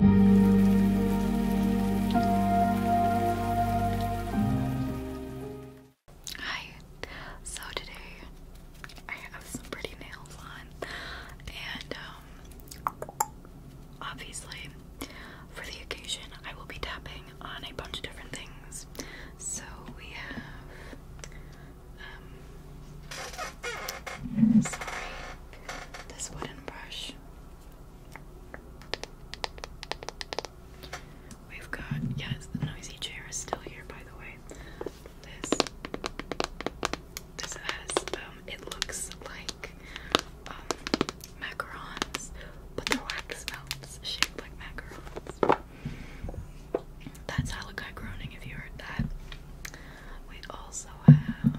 Hi, so today I have some pretty nails on, and um, obviously, for the occasion, I will be tapping on a bunch of different things. So we have, um, this wooden brush. We've got, yes, the noisy chair is still here, by the way. This, this has, um, it looks like, um, macarons, but they wax melts shaped like macarons. That's Halakai groaning if you heard that. We also have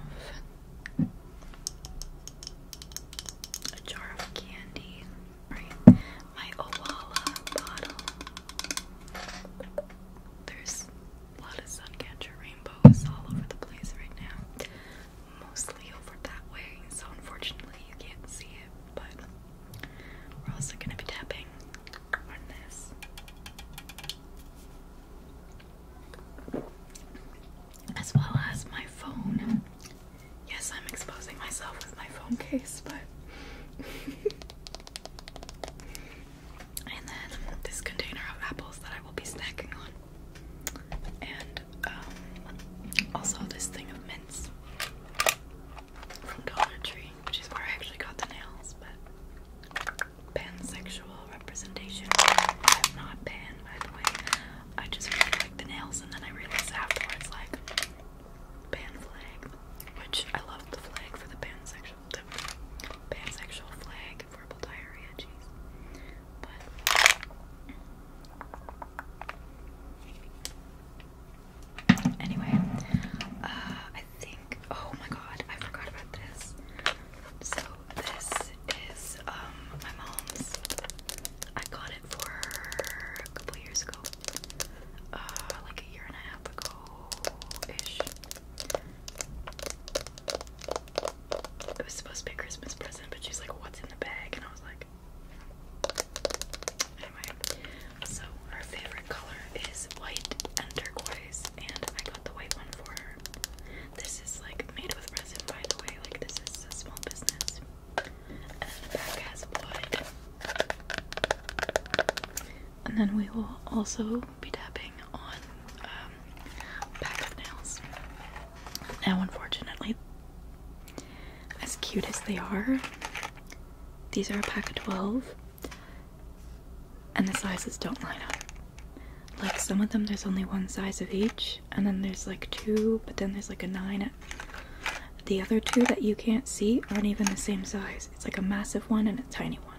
a jar of candy, right? My Owala bottle. There's a lot of suncatcher rainbows all over the place right now. Mostly over that way, so unfortunately you can't see it, but we're also gonna be tapping on this as well as my phone. Yes, I'm exposing myself with my phone case, but. and then this container of apples that I will be snacking on. And um, also this thing of mints from Dollar Tree, which is where I actually got the nails, but pansexual representation. I'm not pan, by the way. I just really like the nails, and then I realized afterwards, like, pan flag, which I love the flag for the pansexual, pansexual flag, verbal diarrhea, jeez. But anyway, uh, I think. Oh my god, I forgot about this. So this is um, my mom's. I got it for a couple years ago. Uh, like a year and a half ago ish. It was supposed to be a Christmas present, but she's like, What's in the bag? And I was like Anyway, so her favorite color is white and turquoise, and I got the white one for her. This is like made with resin, by the way. Like this is a small business. And then the back has wood. And then we will also be dabbing on um, back of nails. Now, unfortunately, as cute as they are, these are a pack of 12, and the sizes don't line up like some of them there's only one size of each and then there's like two but then there's like a nine the other two that you can't see aren't even the same size it's like a massive one and a tiny one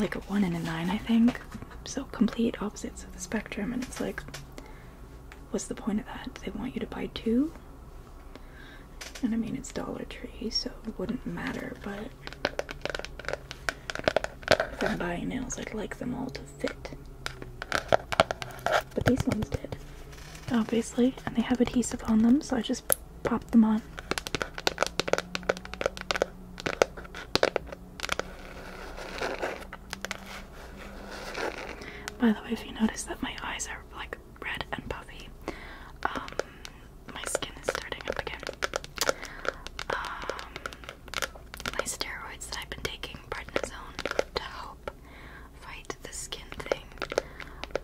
like a one and a nine i think so complete opposites of the spectrum and it's like what's the point of that they want you to buy two and i mean it's dollar tree so it wouldn't matter but if I'm buying nails, I'd like them all to fit. But these ones did, obviously, and they have adhesive on them, so I just popped them on. By the way, if you notice that my eyes are like red and puffy, um, my skin is starting up again. Um, my steroids that I've been taking, prednisone, to help fight the skin thing.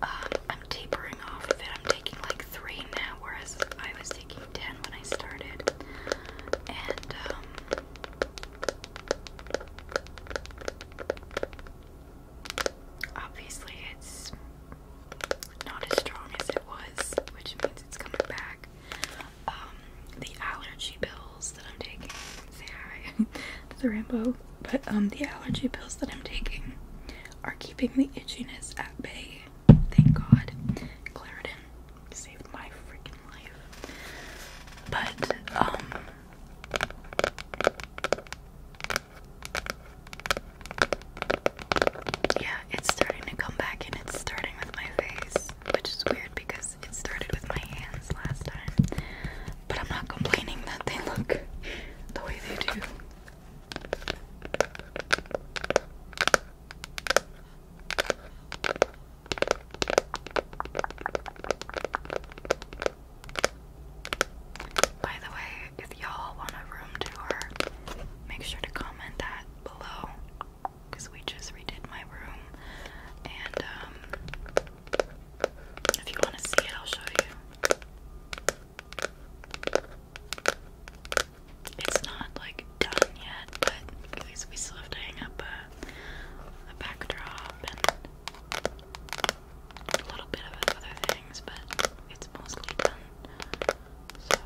Um, I'm tapering off of it. I'm taking like three now, whereas I was taking ten when I started. And um, obviously it's not as strong as it was, which means it's coming back. Um, the allergy pills that I'm taking. the rainbow, But um, the allergy pills that I'm taking are keeping the itchiness at bay. Thank God. Claritin saved my freaking life. But um, Yeah, it's starting to come back and it's starting with my face, which is weird because it started with my hands last time. But I'm not complaining that they look the way they do. By the way, if y'all want a room tour, make sure to comment that below because we just redid my room. And um, if you want to see it, I'll show you. It's not like done yet, but at least we still have to hang up a backdrop and a little bit of other things, but it's mostly done. So.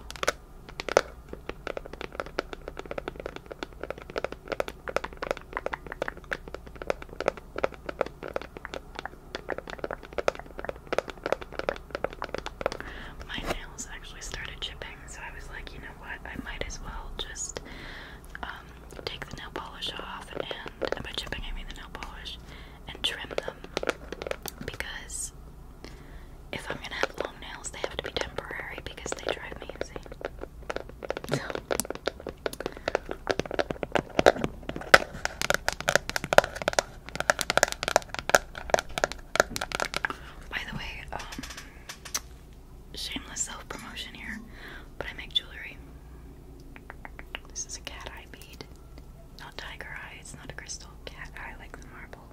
My nails actually started chipping, so I was like, you know what, I might as well just um, take the nail polish off, and by chipping I mean the nail polish, and trim them because if I'm gonna have long nails, they have to be temporary because they drive me insane. By the way, um, shameless self promotion here, but I make jewelry. This is a cat eye bead, not tiger eye, it's not a crystal cat eye like the marble.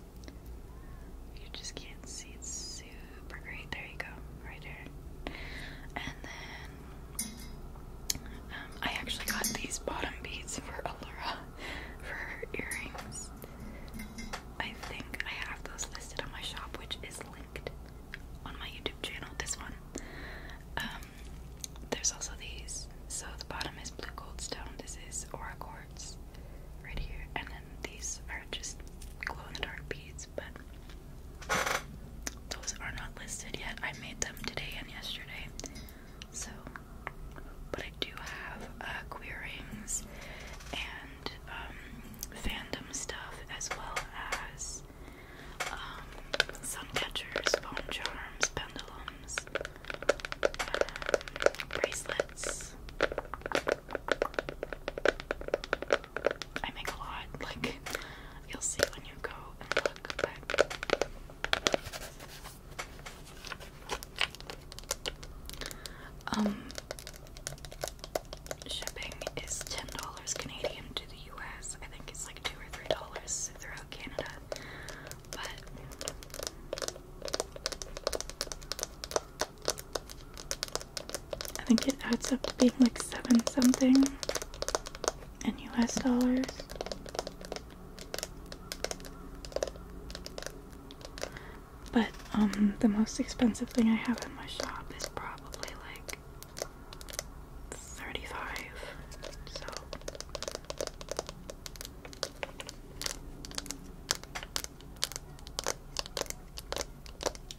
You just can't see. It's super great. There you go. Right there. And then um, I actually got these bottom beads for Allura for her earrings. I think I have those listed on my shop, which is linked on my YouTube channel. This one. Um, there's also these. So the bottom is blue goldstone. This is aura quartz right here, and then these are just glow in the dark beads, but those are not listed yet. I made them today and yesterday, so but I do have uh, queer rings and um, fandom stuff as well as um, sun catchers, bone charms, pendulums, um, bracelets, I make a lot, like, you'll see when you go and look, Um, shipping is ten dollars Canadian to the US. I think it's like two or three dollars throughout Canada, but I think it adds up to being like seven something in US dollars. But um the most expensive thing I have in my shop is probably like 35. So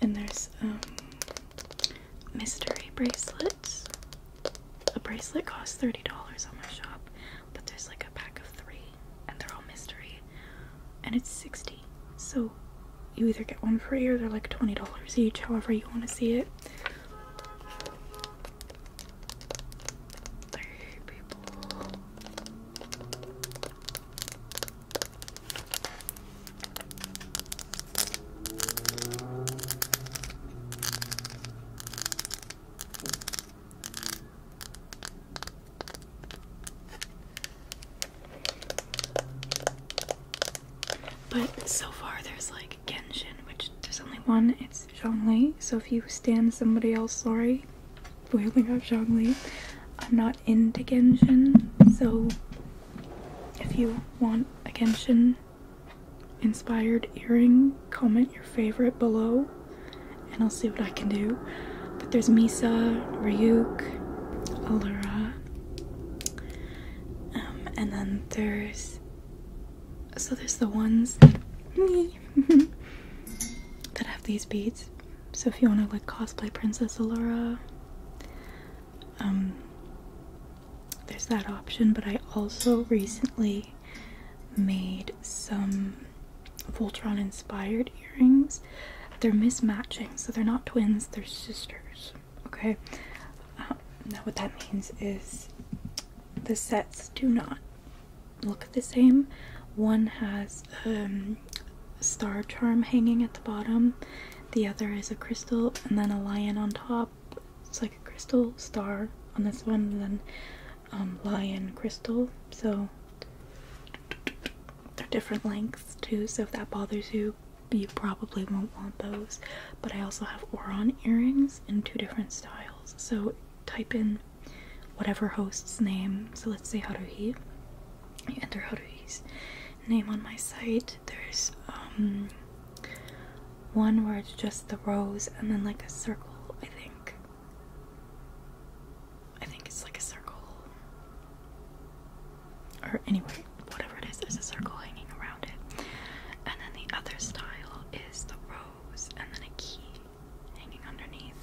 and there's um mystery bracelets. A bracelet costs $30 on my shop, but there's like a pack of three, and they're all mystery, and it's 60 So you either get one free or they're like $20 each, however you want to see it. Three people. But so far, there's like Genshin, which there's only one, it's Zhongli. So if you stand somebody else, sorry boiling up Zhongli. I'm not into Genshin, so if you want a Genshin inspired earring, comment your favorite below and I'll see what I can do. But there's Misa, Ryuk, Allura, um, and then there's so there's the ones that have these beads. So if you want to like cosplay Princess Allura, um, there's that option. But I also recently made some Voltron inspired earrings. They're mismatching, so they're not twins, they're sisters. Okay, uh, now what that means is the sets do not look the same. One has um, a star charm hanging at the bottom, the other is a crystal, and then a lion on top. It's like a crystal star on this one, and then um, lion crystal. So they're different lengths too, so if that bothers you, you probably won't want those. But I also have Oron earrings in two different styles. So type in whatever host's name. So let's say Haruhi. You enter Haruhi's name on my site. There's um one where it's just the rose and then like a circle, I think. I think it's like a circle. Or anyway, whatever it is, there's a circle hanging around it. And then the other style is the rose and then a key hanging underneath.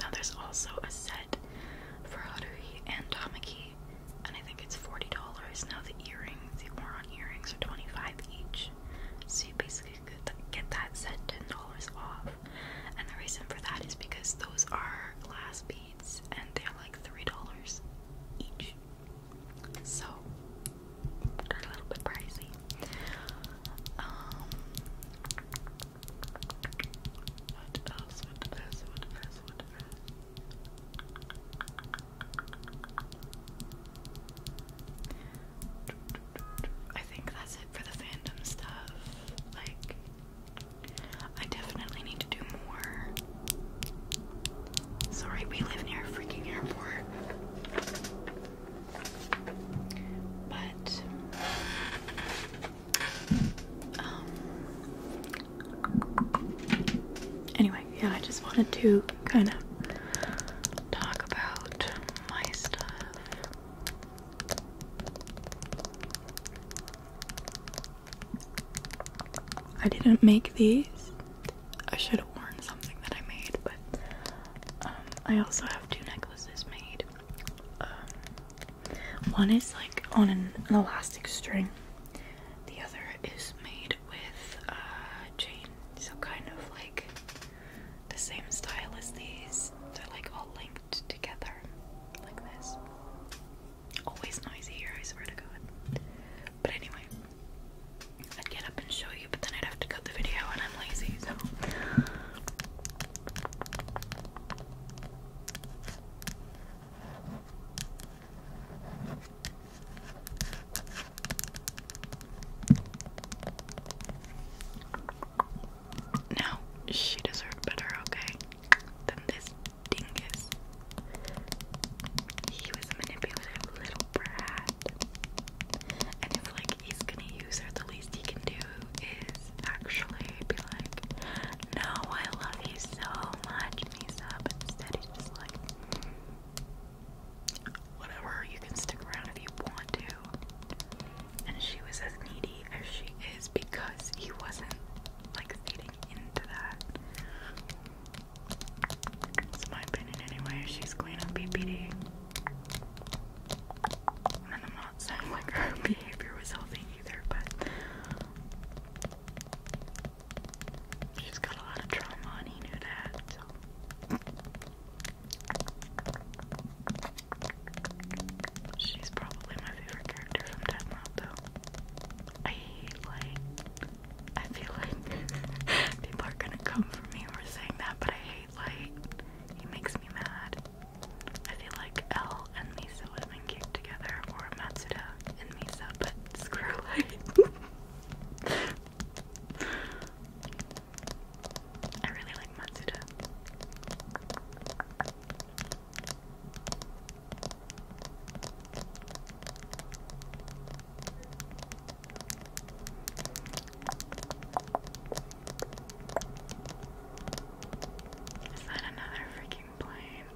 Now there's also a set for Hodori and Tamaki, and I think it's $40. Now the earrings, the Oron earrings are 25 each. So you basically get that set $10 off. And the reason for that is because those are glass beads and they're like $3 each. So they're a little bit pricey. Um, I think that's it for the fandom stuff. Like, I definitely need to do more. Sorry, we live near a freaking airport. But um, anyway, yeah, I just wanted to kind of talk about my stuff. I didn't make these. I should have worn something that I made, but um, I also have two necklaces made. Um, one is like on an, elastic string. The other is made with uh, chain, so kind of like the same style as these. They're like all linked together, like this. Always noisy here, I swear to God. But anyway, I'd get up and show you, but then I'd have to cut the video, and I'm lazy, so now, she deserved better, okay? Than this dingus. He was a manipulative little brat. And if, like, he's gonna use her, the least he can do is actually be like, No, I love you so much, Misa. But instead, he's just like, Whatever, you can stick around if you want to. And she was as needy as she is because he wasn't like feeding into that. It's my opinion, anyway. She's queen on BPD. And I'm not saying like her behavior was healthy either, but she's got a lot of trauma and he knew that, so She's probably my favorite character from Death Note, though. I like. I feel like people are gonna come for me for saying that, but I hate light. He makes me mad. I feel like L and Misa have been cute together, or Matsuda and Misa, but screw it. I really like Matsuda. Is that another freaking plane?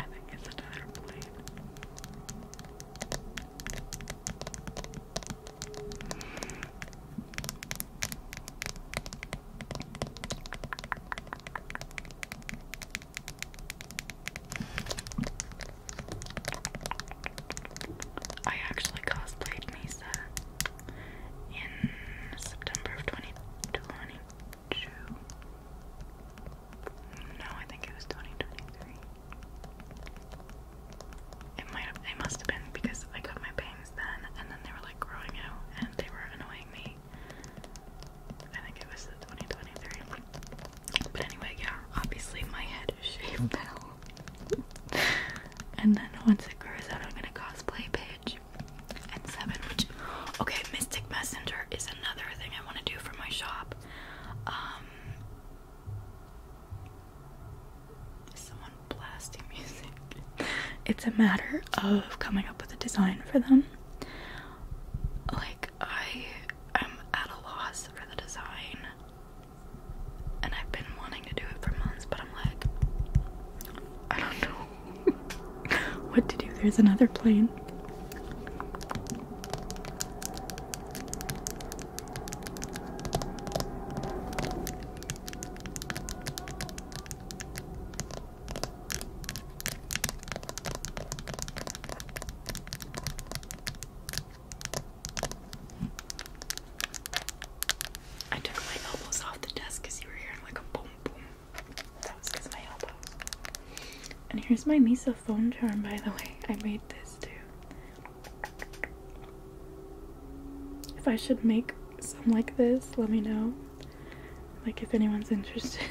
I think it's another plane. I actually cosplayed Misa in September of 2022. No, I think it was 2023. It might have, it must have been because I got my bangs then, and then they were like growing out, and they were annoying me. I think it was the 2023. But anyway, yeah, obviously my head is shaved now and then once it grows out, I'm gonna cosplay Pidge and Seven. okay, Mystic Messenger is another thing I want to do for my shop. Um, is someone blasting music? It's a matter of coming up with a design for them. Like I am at a loss for the design and I've been wanting to do it for months, but I'm like, I don't know what to do. There's another plane. I took my elbows off the desk because you were hearing like a boom boom. That was because of my elbows. And here's my Misa phone charm, by the way. I made this too. If I should make some like this, let me know. Like if anyone's interested.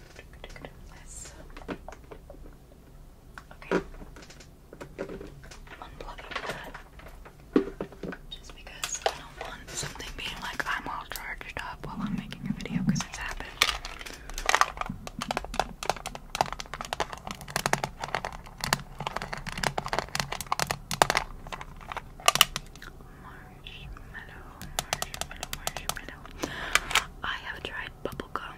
Okay. Unplugging that. Just because I don't want something being like I'm all charged up while I'm making a video because it's happened marshmallow, I have tried bubblegum,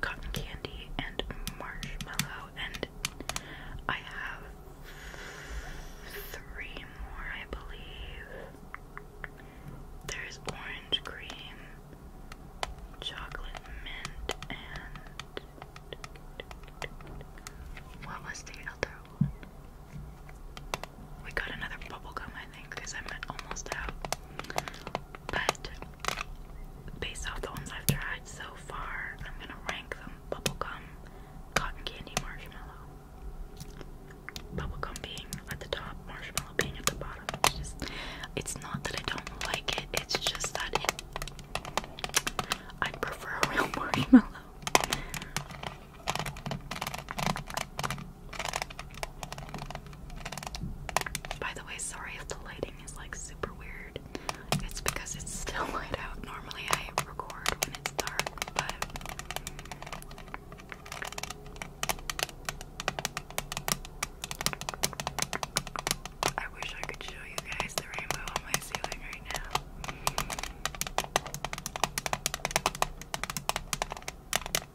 cotton candy, and marshmallow, and I have three more, I believe. There's orange cream, chocolate mint, and what was the other we got another bubblegum, I think, because I'm almost out. But based off the ones I've tried so far, I'm gonna rank them bubble gum, cotton candy, marshmallow. Bubble gum being at the top, marshmallow being at the bottom. It's just, it's not that I don't like it, it's just that it. I prefer a real marshmallow. By the way, sorry if the lighting is like super weird. It's because it's still light out. Normally I record when it's dark, but I wish I could show you guys the rainbow on my ceiling right now. It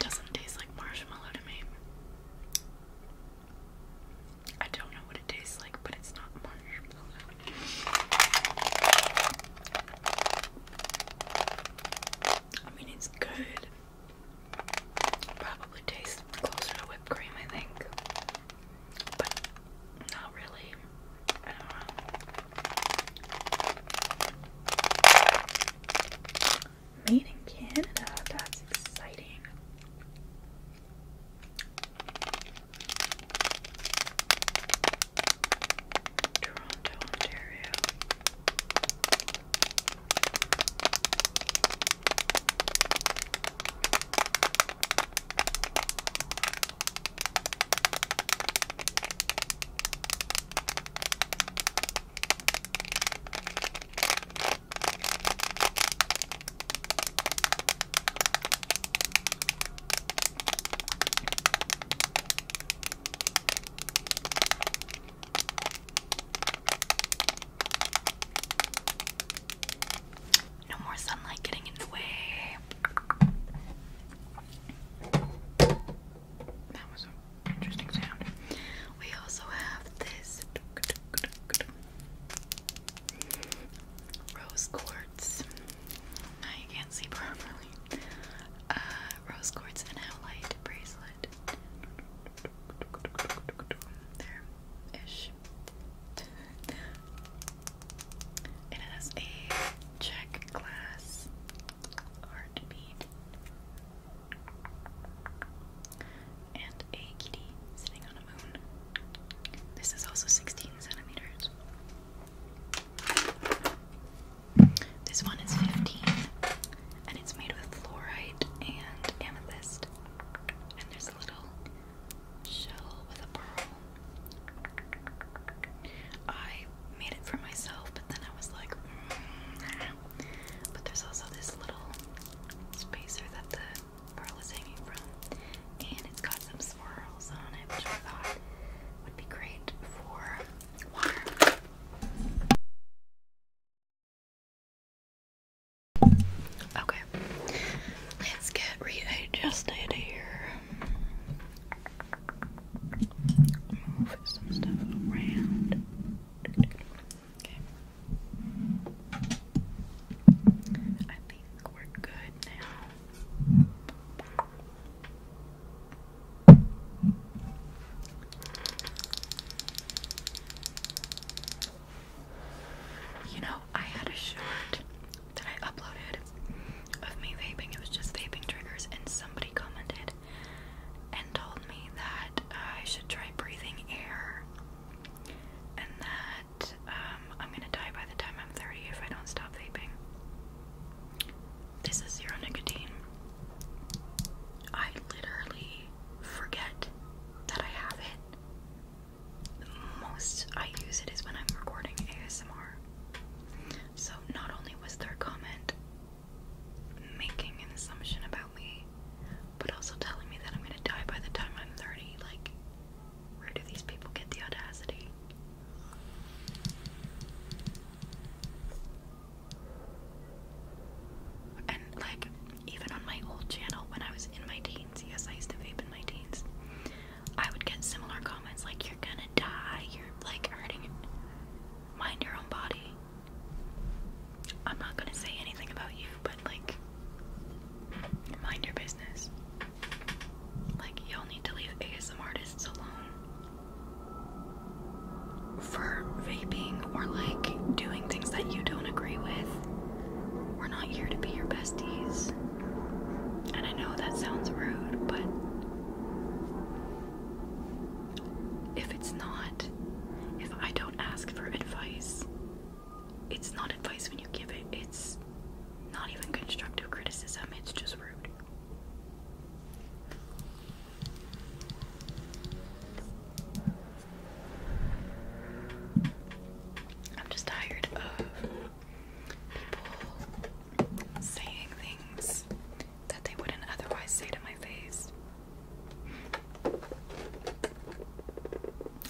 doesn't taste like marshmallow to me. I don't know what it tastes like, but it's not marshmallow. I mean, it's good. Probably tastes closer to whipped cream, I think. But not really. Made in Canada. That's exciting. Toronto, Ontario. No more sunlight getting in the way. That was an interesting sound. We also have this rose quartz. Now you can't see properly. Uh, rose quartz and howlite bracelet. There ish. and it has a check glass heartbeat. And a kitty sitting on a moon. This is also 16 centimeters. This one is 15 and it's made with fluorite and amethyst. And there's a little shell with a pearl. I made it for myself, but then I was like, mm. but there's also this little spacer that the pearl is hanging from, and it's got some swirls on it, which I thought would be great for Okay. Let's get readjusted here. Move some stuff around. Okay. I think we're good now. You know, I had a short that I uploaded of me vaping. It was just vaping triggers, and somebody commented and told me that I should try breathing air and that um, I'm gonna die by the time I'm 30 if I don't stop vaping. This is zero nicotine. I literally forget that I have it. The most I use it is when I'm recording ASMR. So not only was their comment making an assumption about me, but also telling me that I'm gonna die by the time I'm 30, like, where do these people get the audacity? And like even on my old channel when I was in my teens, yes I used to vape in my teens, I would get similar comments like you're gonna die, you're like hurting mind your own body. I'm not gonna say anything about you, but like mind your business. Like y'all need to leave ASM artists alone for vaping or like doing things that you don't agree with. We're not here to be your besties. And I know that sounds rude, but if it's not, if I don't ask for advice, it's not advice when you give it. It's not even constructive criticism, it's just rude. I'm just tired of people saying things that they wouldn't otherwise say to my face.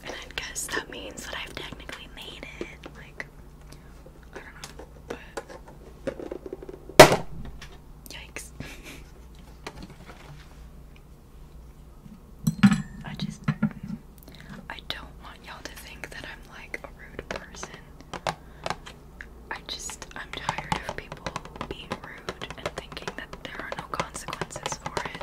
And I guess that means that I've technically made it. Like, I don't know, but Yikes. I just I don't want y'all to think that I'm like a rude person. I just I'm tired of people being rude and thinking that there are no consequences for it.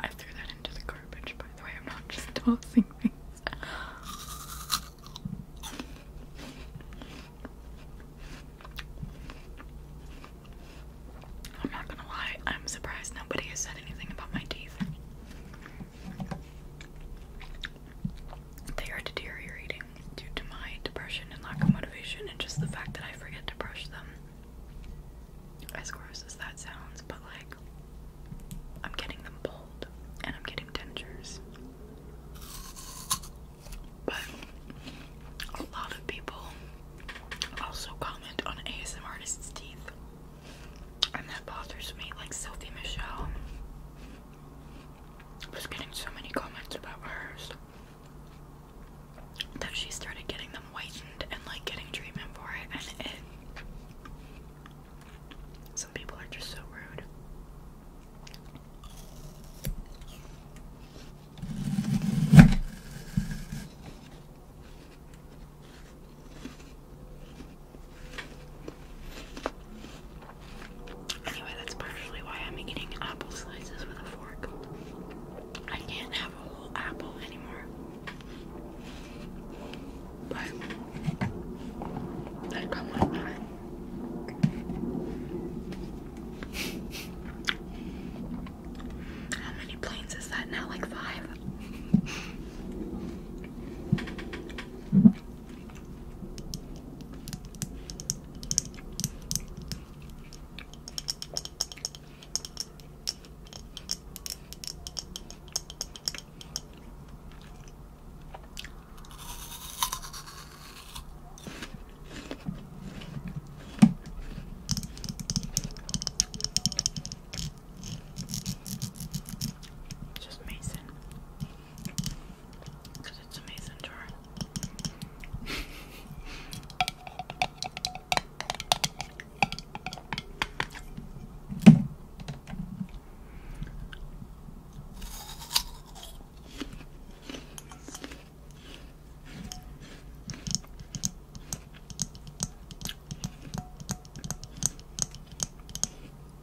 I threw that into the garbage, by the way. I'm not just tossing things. I'm not gonna lie, I'm surprised nobody has said anything about my teeth. They are deteriorating due to my depression and lack of motivation, and just the fact that I forget to brush them. As gross as that sounds, but like, I'm getting them pulled and I'm getting dentures. But a lot of people also comment on ASM artists' teeth, and that bothers me. Like Sophie Michelle I was getting so many comments about hers that she started getting them whitened and like getting treatment for it and it some people are just so rude. Anyway, that's partially why I'm eating apple slices with a fork. I can't have a whole apple anymore. But they come How many planes is that now? Like five? It's just amazing it's amazing, mason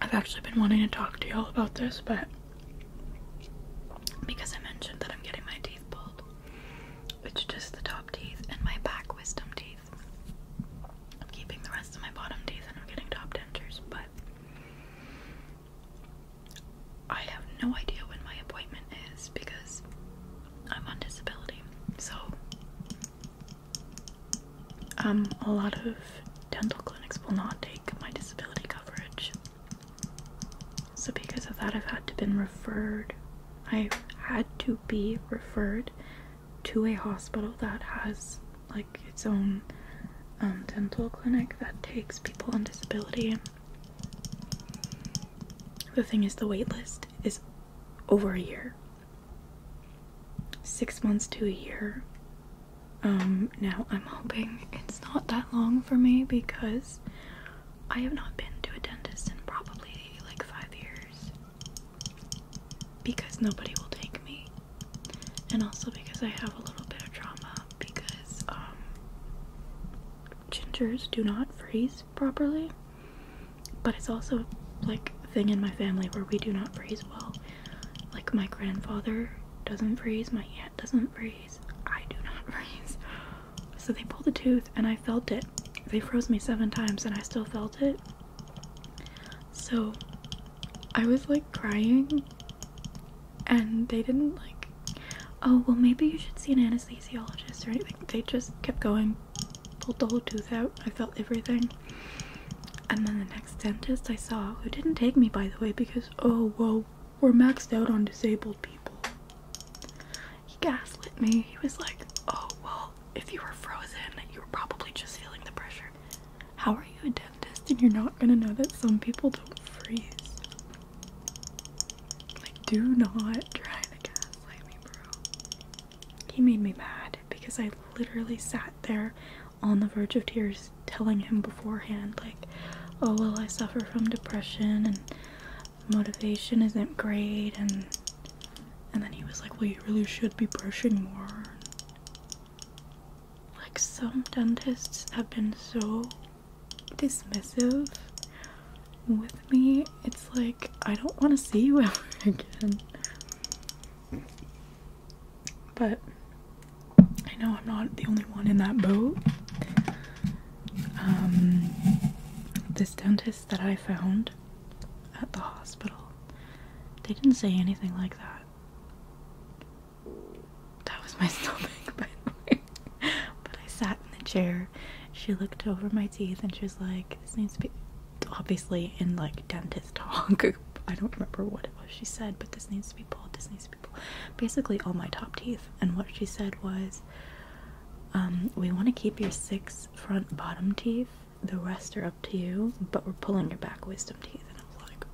I've actually been wanting to talk to y'all about this, but because I mentioned that I'm getting my teeth pulled, it's just the top teeth and my back wisdom teeth. I'm keeping the rest of my bottom teeth and I'm getting top dentures, but I have no idea when my appointment is because I'm on disability. So um, a lot of dental clinics will not take my disability coverage. So because of that I've had to been referred I had to be referred to a hospital that has like its own um, dental clinic that takes people on disability. The thing is the waitlist is over a year. Six months to a year um, now I'm hoping it's not that long for me because I have not been to a dentist in probably like five years because nobody will take me, and also because I have a little bit of trauma because, um, gingers do not freeze properly, but it's also like a thing in my family where we do not freeze well. Like my grandfather doesn't freeze, my aunt doesn't freeze, I do not freeze. So they pulled the tooth and I felt it. They froze me seven times and I still felt it. So I was like crying and they didn't like, oh, well, maybe you should see an anesthesiologist or anything. They just kept going, pulled the whole tooth out. I felt everything. And then the next dentist I saw, who didn't take me by the way because, oh, well, we're maxed out on disabled people. He gaslit me. He was like, oh, well, if you were frozen, you were probably just feeling the pressure. How are you a dentist and you're not gonna know that some people don't freeze? Like, do not try to gaslight me, bro. He made me mad because I literally sat there on the verge of tears telling him beforehand like oh well i suffer from depression and motivation isn't great and and then he was like well you really should be brushing more like some dentists have been so dismissive with me it's like i don't want to see you ever again but I know I'm not the only one in that boat. Um, this dentist that I found at the hospital, they didn't say anything like that. That was my stomach, by the way. but I sat in the chair. She looked over my teeth and she was like, "This needs to be." Obviously, in like dentist his I don't remember what it was she said, but this needs to be pulled, this needs to be pulled. Basically, all my top teeth. And what she said was, um, we want to keep your six front bottom teeth, the rest are up to you, but we're pulling your back wisdom teeth. And I was like,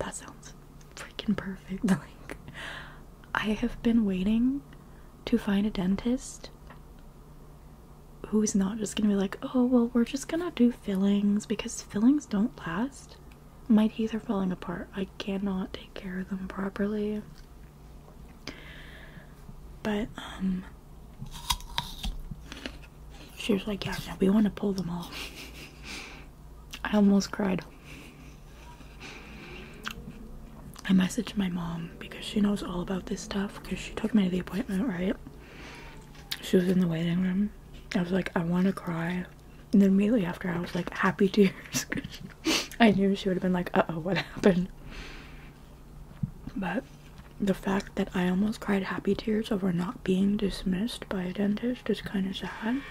that sounds freaking perfect. like, I have been waiting to find a dentist who is not just gonna be like, oh, well, we're just gonna do fillings because fillings don't last. My teeth are falling apart. I cannot take care of them properly. But, um, she was like, Yeah, we want to pull them all. I almost cried. I messaged my mom because she knows all about this stuff because she took me to the appointment, right? she was in the waiting room. I was like, I want to cry. And then immediately after, I was like, happy tears. I knew she would have been like, uh oh, what happened? But the fact that I almost cried happy tears over not being dismissed by a dentist is kind of sad.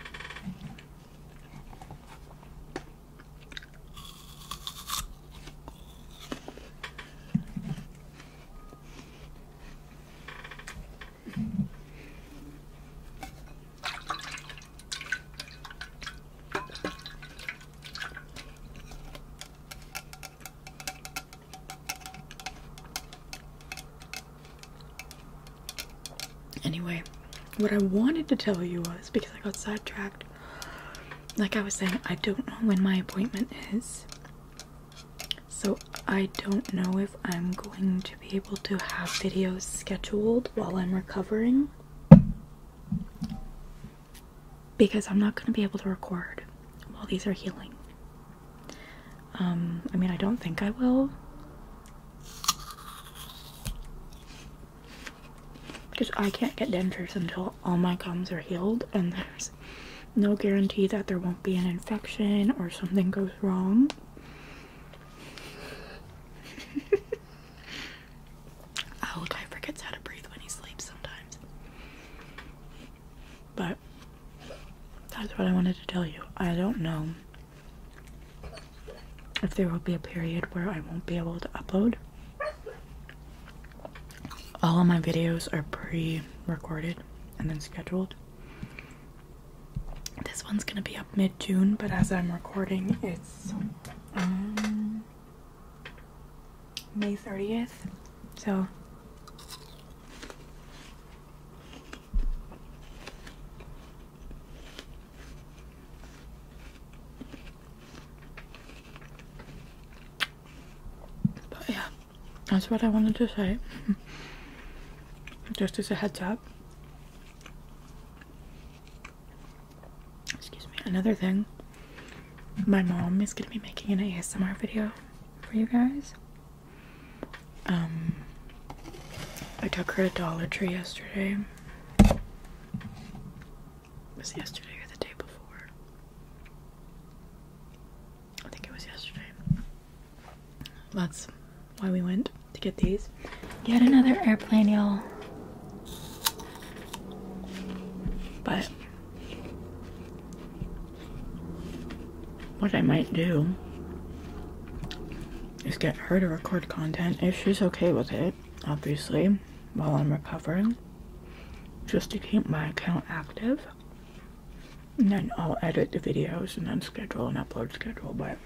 Anyway, what I wanted to tell you was because I got sidetracked. Like I was saying, I don't know when my appointment is. So I don't know if I'm going to be able to have videos scheduled while I'm recovering because I'm not going to be able to record while these are healing. Um, I mean, I don't think I will. Because I can't get dentures until all my gums are healed, and there's no guarantee that there won't be an infection or something goes wrong. Owl oh, guy forgets how to breathe when he sleeps sometimes. But that's what I wanted to tell you. I don't know if there will be a period where I won't be able to upload. All of my videos are pre recorded and then scheduled. This one's gonna be up mid June, but as I'm recording, it's um, May 30th. So, but yeah. That's what I wanted to say. Just as a heads up. Excuse me. Another thing. My mom is going to be making an ASMR video for you guys. Um, I took her to Dollar Tree yesterday. It was yesterday or the day before. I think it was yesterday. That's why we went to get these. Get another airplane, y'all. But what I might do is get her to record content if she's okay with it, obviously, while I'm recovering, just to keep my account active and then I'll edit the videos and then schedule and upload schedule but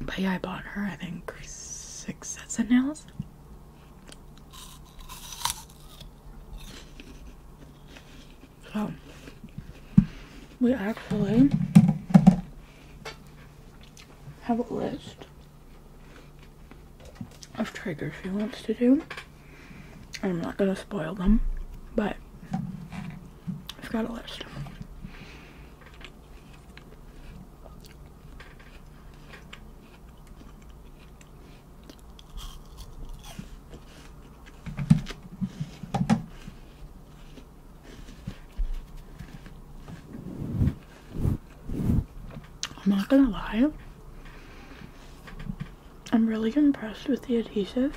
but yeah I bought her I think six sets of nails so we actually have a list of triggers she wants to do. I'm not going to spoil them, but I've got a list. I'm not gonna lie. I'm really impressed with the adhesive.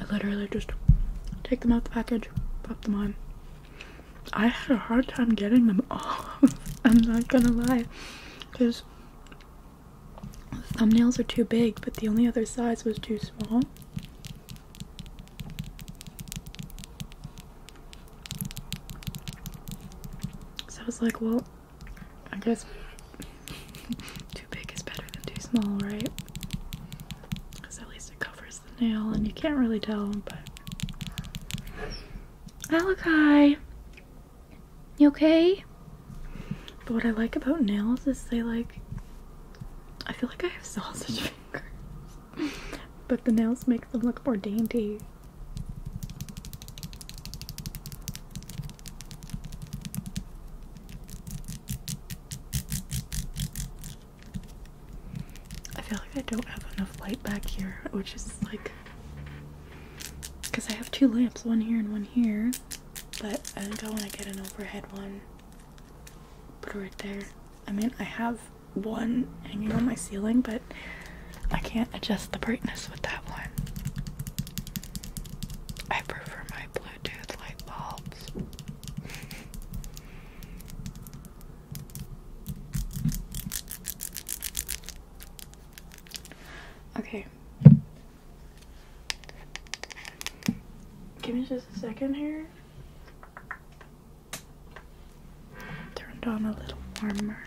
I literally just take them out the package, pop them on. I had a hard time getting them off. I'm not gonna lie. Because the thumbnails are too big, but the only other size was too small. So I was like, well, I guess too big is better than too small, right? Because at least it covers the nail, and you can't really tell, but. Alakai! You okay? But what I like about nails is they like, I feel like I have sausage fingers, but the nails make them look more dainty. I feel like I don't have enough light back here, which is like because I have two lamps, one here and one here but I don't want to get an overhead one. Put it right there. I mean, I have one hanging on my ceiling, but I can't adjust the brightness with that one. I prefer my Bluetooth light bulbs. okay, Give me just a second here. Turned on a little warmer.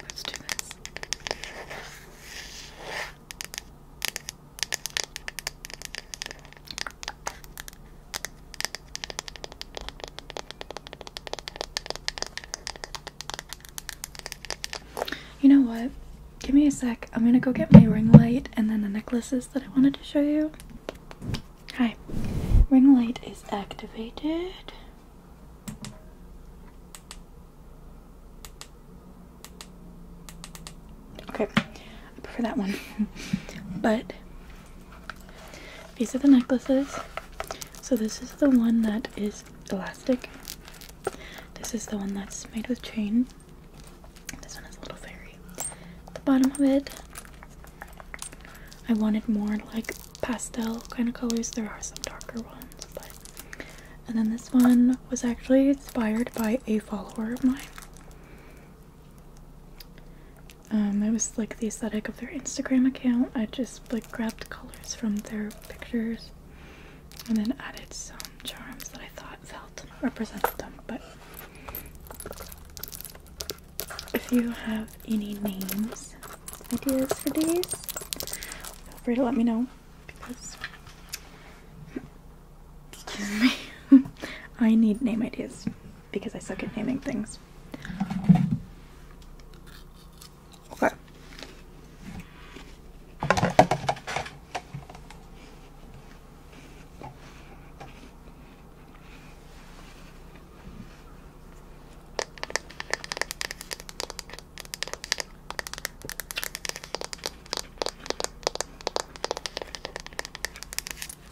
Let's do this. You know what? Give me a sec. I'm gonna go get my ring light and then the necklaces that I wanted to show you. Hi. Ring light is activated. Okay, I prefer that one. but these are the necklaces. So this is the one that is elastic. This is the one that's made with chain. This one is a little fairy. The bottom of it. I wanted more like pastel kind of colors. There are some darker ones, but and then this one was actually inspired by a follower of mine. Um, I was like the aesthetic of their Instagram account. I just like grabbed colors from their pictures and then added some charms that I thought felt represented them. But if you have any names, ideas for these, feel free to let me know because excuse me, I need name ideas because I suck at naming things. Okay.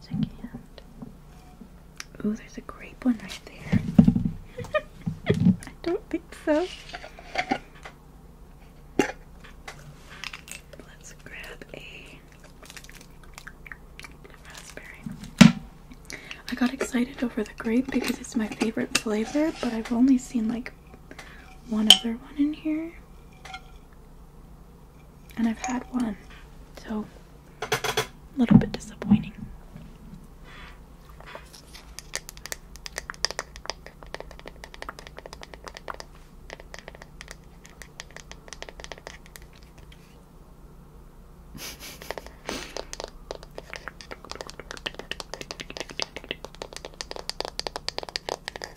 just Oh, there's a grape one right there. I don't think so. Let's grab a raspberry. I got excited over the grape because it's my favorite flavor, but I've only seen like one other one in here and I've had one, so a little bit disappointing.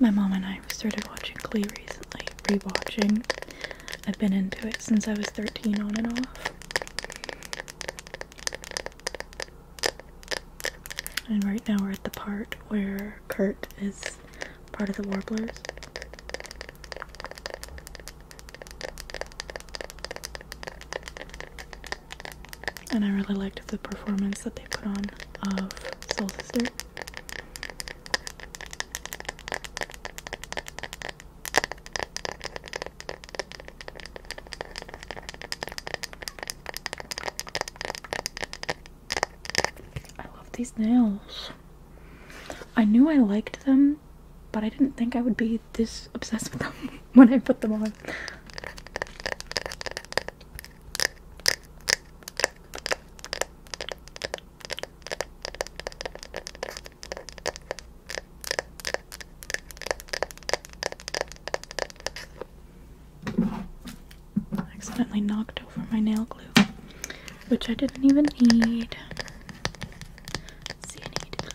My mom and I started watching Glee recently, rewatching. I've been into it since I was 13 on and off. And right now we're at the part where Kurt is part of the Warblers. And I really liked the performance that they put on of Soul I love these nails. I knew I liked them, but I didn't think I would be this obsessed with them when I put them on. accidentally knocked over my nail glue, which I didn't even need. See, I need money.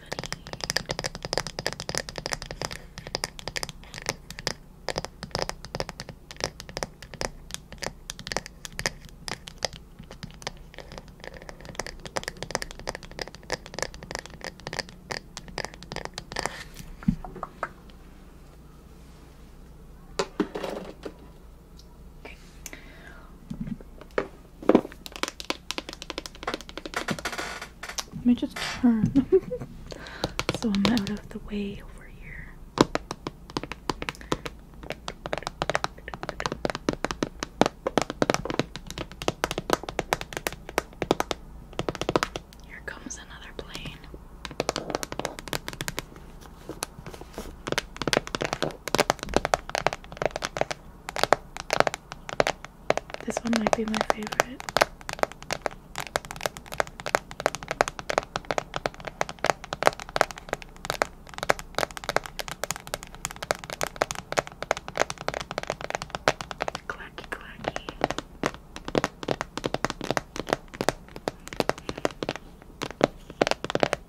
Let me just turn so I'm out of the way over here. Here comes another plane. This one might be my favorite. Clacky, clacky.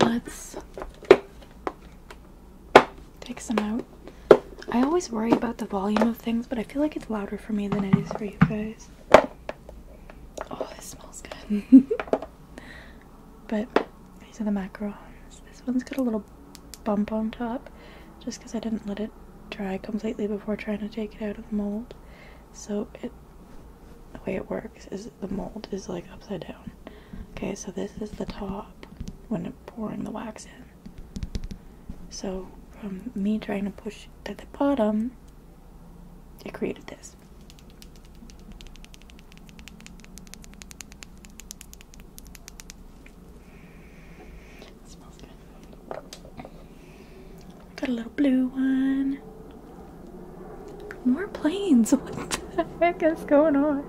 Let's take some out. I always worry about the volume of things, but I feel like it's louder for me than it is for you guys. Oh, this smells good. but these are the macarons. This one's got a little bump on top just because I didn't let it dry completely before trying to take it out of the mold. So the way it works is the mold is like upside down. Okay, so this is the top when I'm pouring the wax in. So from me trying to push it the bottom, it created this. Got a little blue one. More planes. What the heck is going on?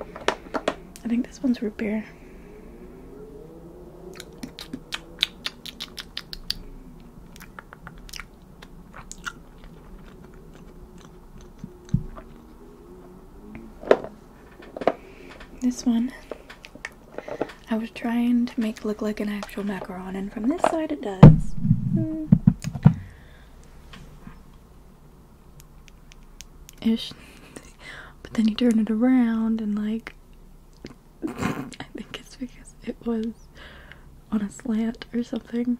I think this one's root beer. This one I was trying to make look like an actual macaron and from this side it does. Hmm ish. But then you turn it around and like I think it's because it was on a slant or something,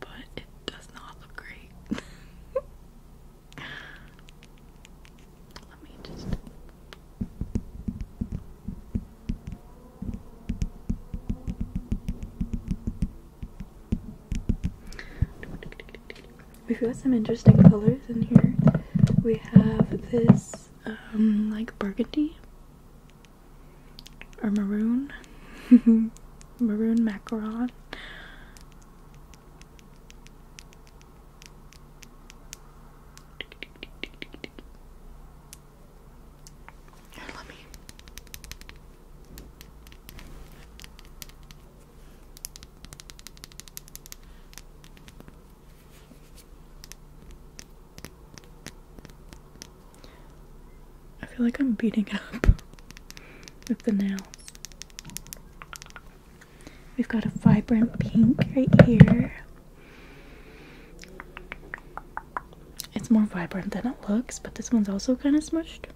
but it does not look great. Let me just We've got some interesting colors in here. We have this, um, like burgundy or maroon, maroon macaron. I feel like I'm beating up with the nails. We've got a vibrant pink right here. It's more vibrant than it looks, but this one's also kind of smushed.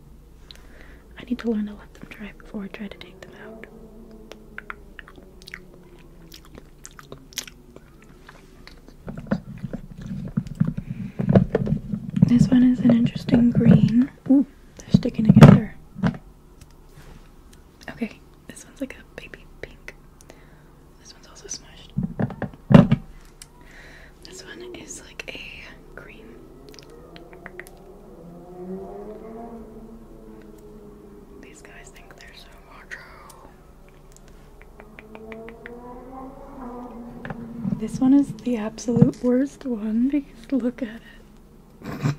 I need to learn to let them dry before I try to take them out. This one is an interesting green. Ooh, they're sticking together. Okay, this one's like a baby pink. This one's also smashed. This one is like a this one is the absolute worst one because look at it. I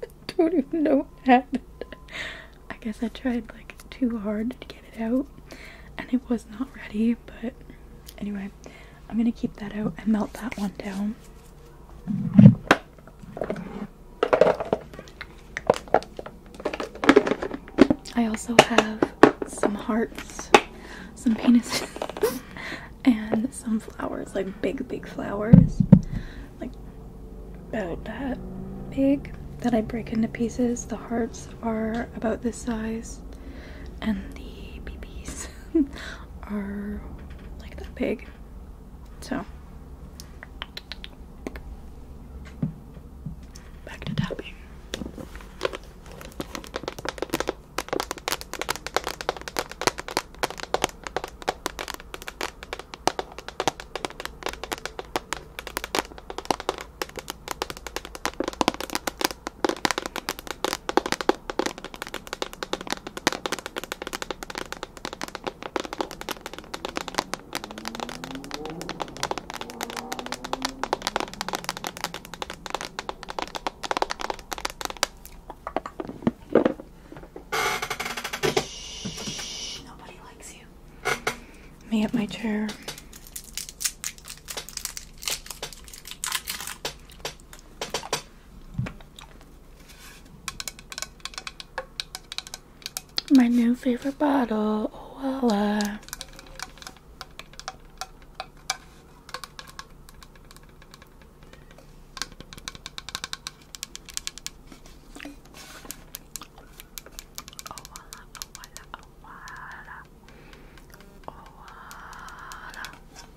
don't even know what happened. I guess I tried like too hard to get it out and it was not ready, but anyway, I'm gonna keep that out and melt that one down. I also have some hearts, some penises, and some flowers, like big, big flowers. Like about that big that I break into pieces. The hearts are about this size, and the BBs are like that big. So back to tapping. Shh, nobody likes you. Let me get my chair. My new favorite bottle, Owala. Owala, Owala, Owala, Owala.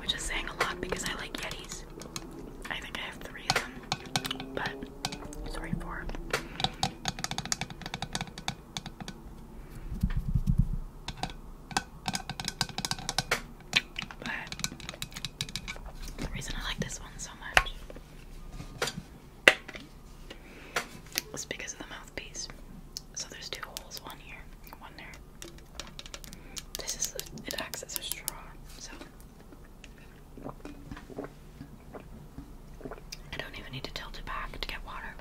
Which is saying a lot because I like Yetis. I think I have three of them, but sorry, four. But the reason I like this one so much it's because of the mouthpiece. So there's two holes, one here, one there. This is it acts as a straw, so I don't even need to tilt it back to get water.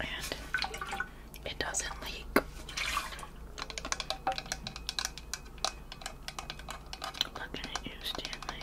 And it doesn't leak. Looking at you, Stanley.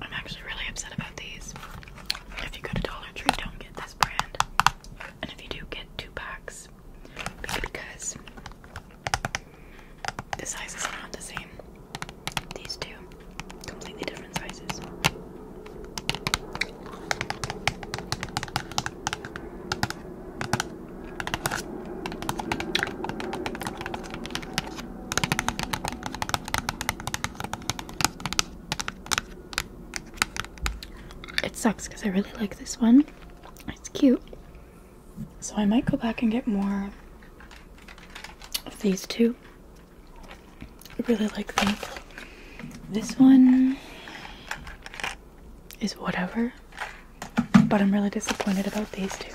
I'm actually really upset about these. If you go to Dollar Tree, don't get this brand. And if you do, get two packs because the sizes are not the same. These two, completely different sizes. It sucks because I really like this one. It's cute. So I might go back and get more of these two. really like them. This one is whatever, but I'm really disappointed about these two.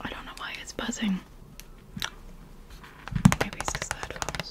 I don't know why it's buzzing. Maybe it's because the headphones.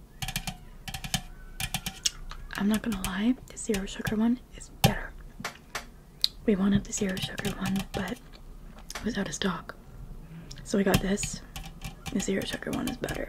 I'm not gonna lie, the zero sugar one is better. We wanted the zero sugar one, but it was out of stock. So we got this. The zero sugar one is better.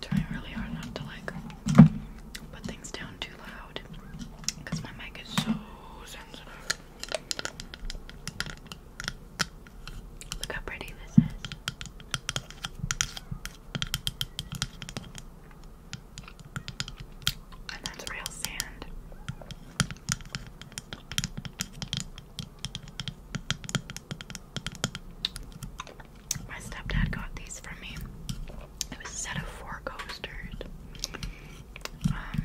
Trying really hard not to like put things down too loud because my mic is so sensitive. Look how pretty this is. And that's real sand. My stepdad got these for me. It was a set of four coasters. Um,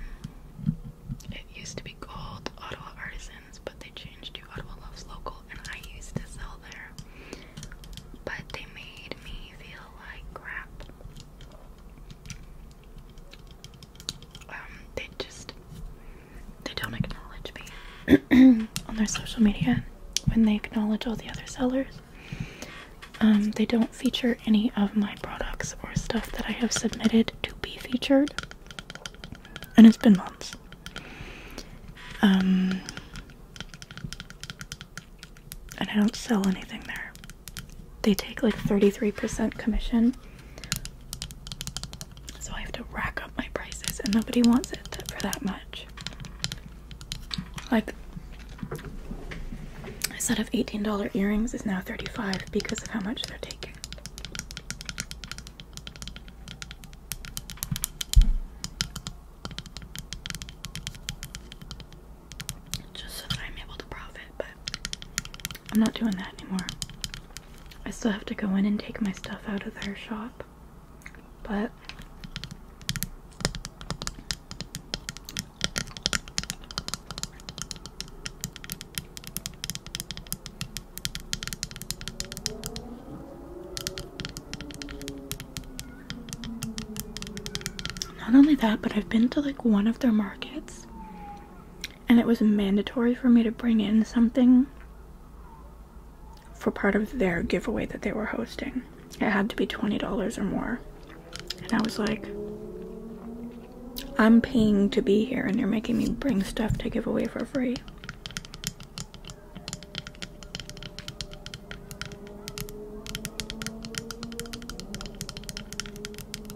it used to be called Ottawa Artisans, but they changed to Ottawa Loves Local, and I used to sell there. But they made me feel like crap. Um, they just they don't acknowledge me on their social media when they acknowledge all the other sellers. Um, they don't feature any of my products or stuff that I have submitted to be featured, and it's been months. Um, and I don't sell anything there they take like 33% commission. So I have to rack up my prices and nobody wants it for that much. Like a set of $18 earrings is now 35 because of how much they're taking just so that I'm able to profit, but I'm not doing that anymore. I still have to go in and take my stuff out of their shop, but not only that, but I've been to like one of their markets and it was mandatory for me to bring in something for part of their giveaway that they were hosting. It had to be $20 or more. And I was like, I'm paying to be here and you're making me bring stuff to give away for free.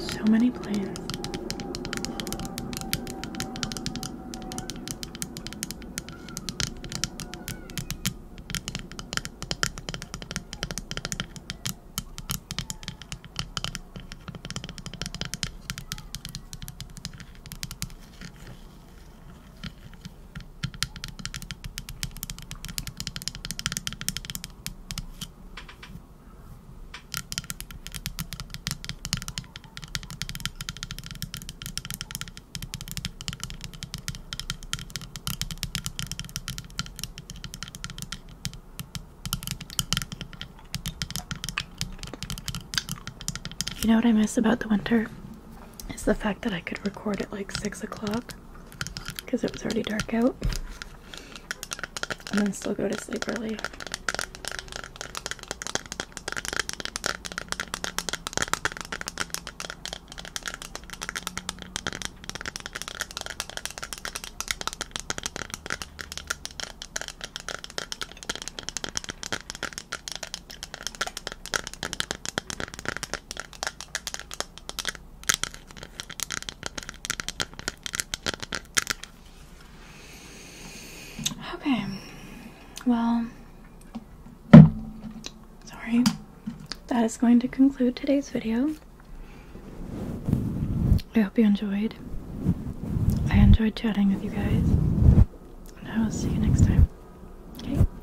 So many plans. You know what I miss about the winter? Is the fact that I could record at like 6 o'clock because it was already dark out and then still go to sleep early. Okay. Well, sorry. That is going to conclude today's video. I hope you enjoyed. I enjoyed chatting with you guys. And I will see you next time. Okay?